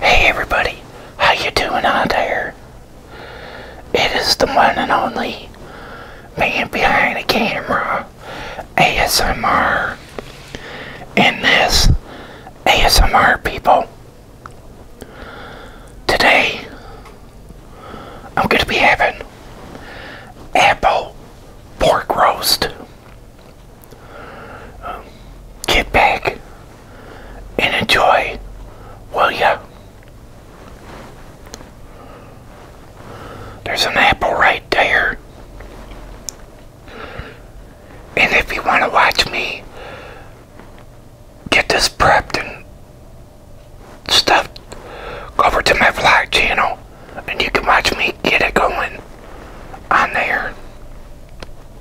Hey everybody, how you doing out there? It is the one and only man behind the camera, ASMR, and this ASMR people. Today, I'm going to be having apple pork roast get back and enjoy, will ya? There's an apple right there. And if you want to watch me get this prepped and stuff, go over to my vlog channel and you can watch me get it going on there.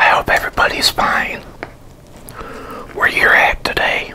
I hope everybody's fine where you're at today.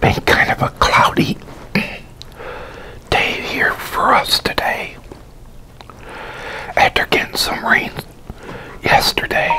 Been kind of a cloudy day here for us today. After getting some rain yesterday.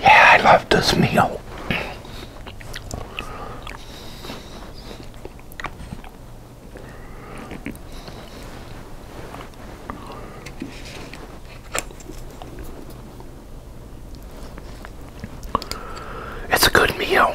Yeah, I love this meal. It's a good meal.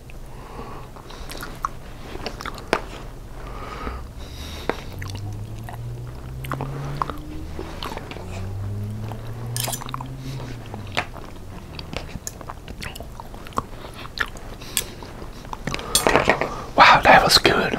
Wow, that was good.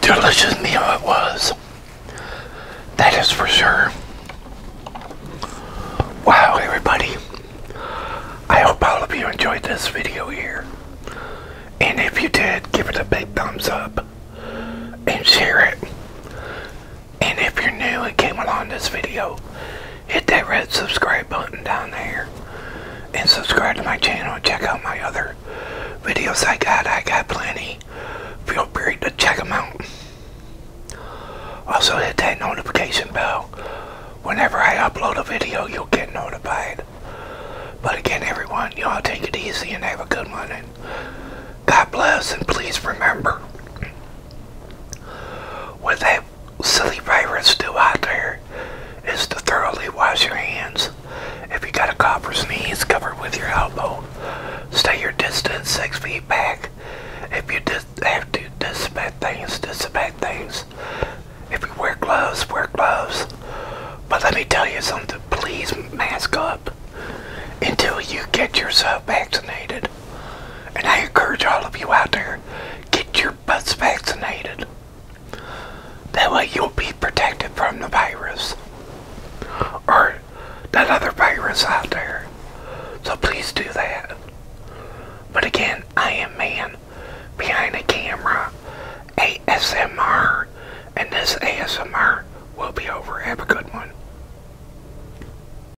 Delicious meal it was. That is for sure. Wow, everybody. I hope all of you enjoyed this video here. And if you did, give it a big thumbs up and share it. And if you're new and came along this video, hit that red subscribe button down there. And subscribe to my channel and check out my other videos I got. I got plenty. Feel free to check them out. Also hit that notification bell. Whenever I upload a video, you'll get notified. But again, everyone, y'all take it easy and have a good one. And God bless, and please remember, what that silly virus do out there is to thoroughly wash your hands. If you got a cough or sneeze, cover with your elbow. Stay your distance six feet back. If you dis have to disinfect things, disinfect things. If you wear gloves, wear gloves. But let me tell you something, please mask up until you get yourself vaccinated. And I encourage all of you out there, get your butts vaccinated. That way you'll be protected from the virus. Or that other virus out there. So please do that. But again, I am man behind the camera. ASMR. And this ASMR will be over. Have a good one.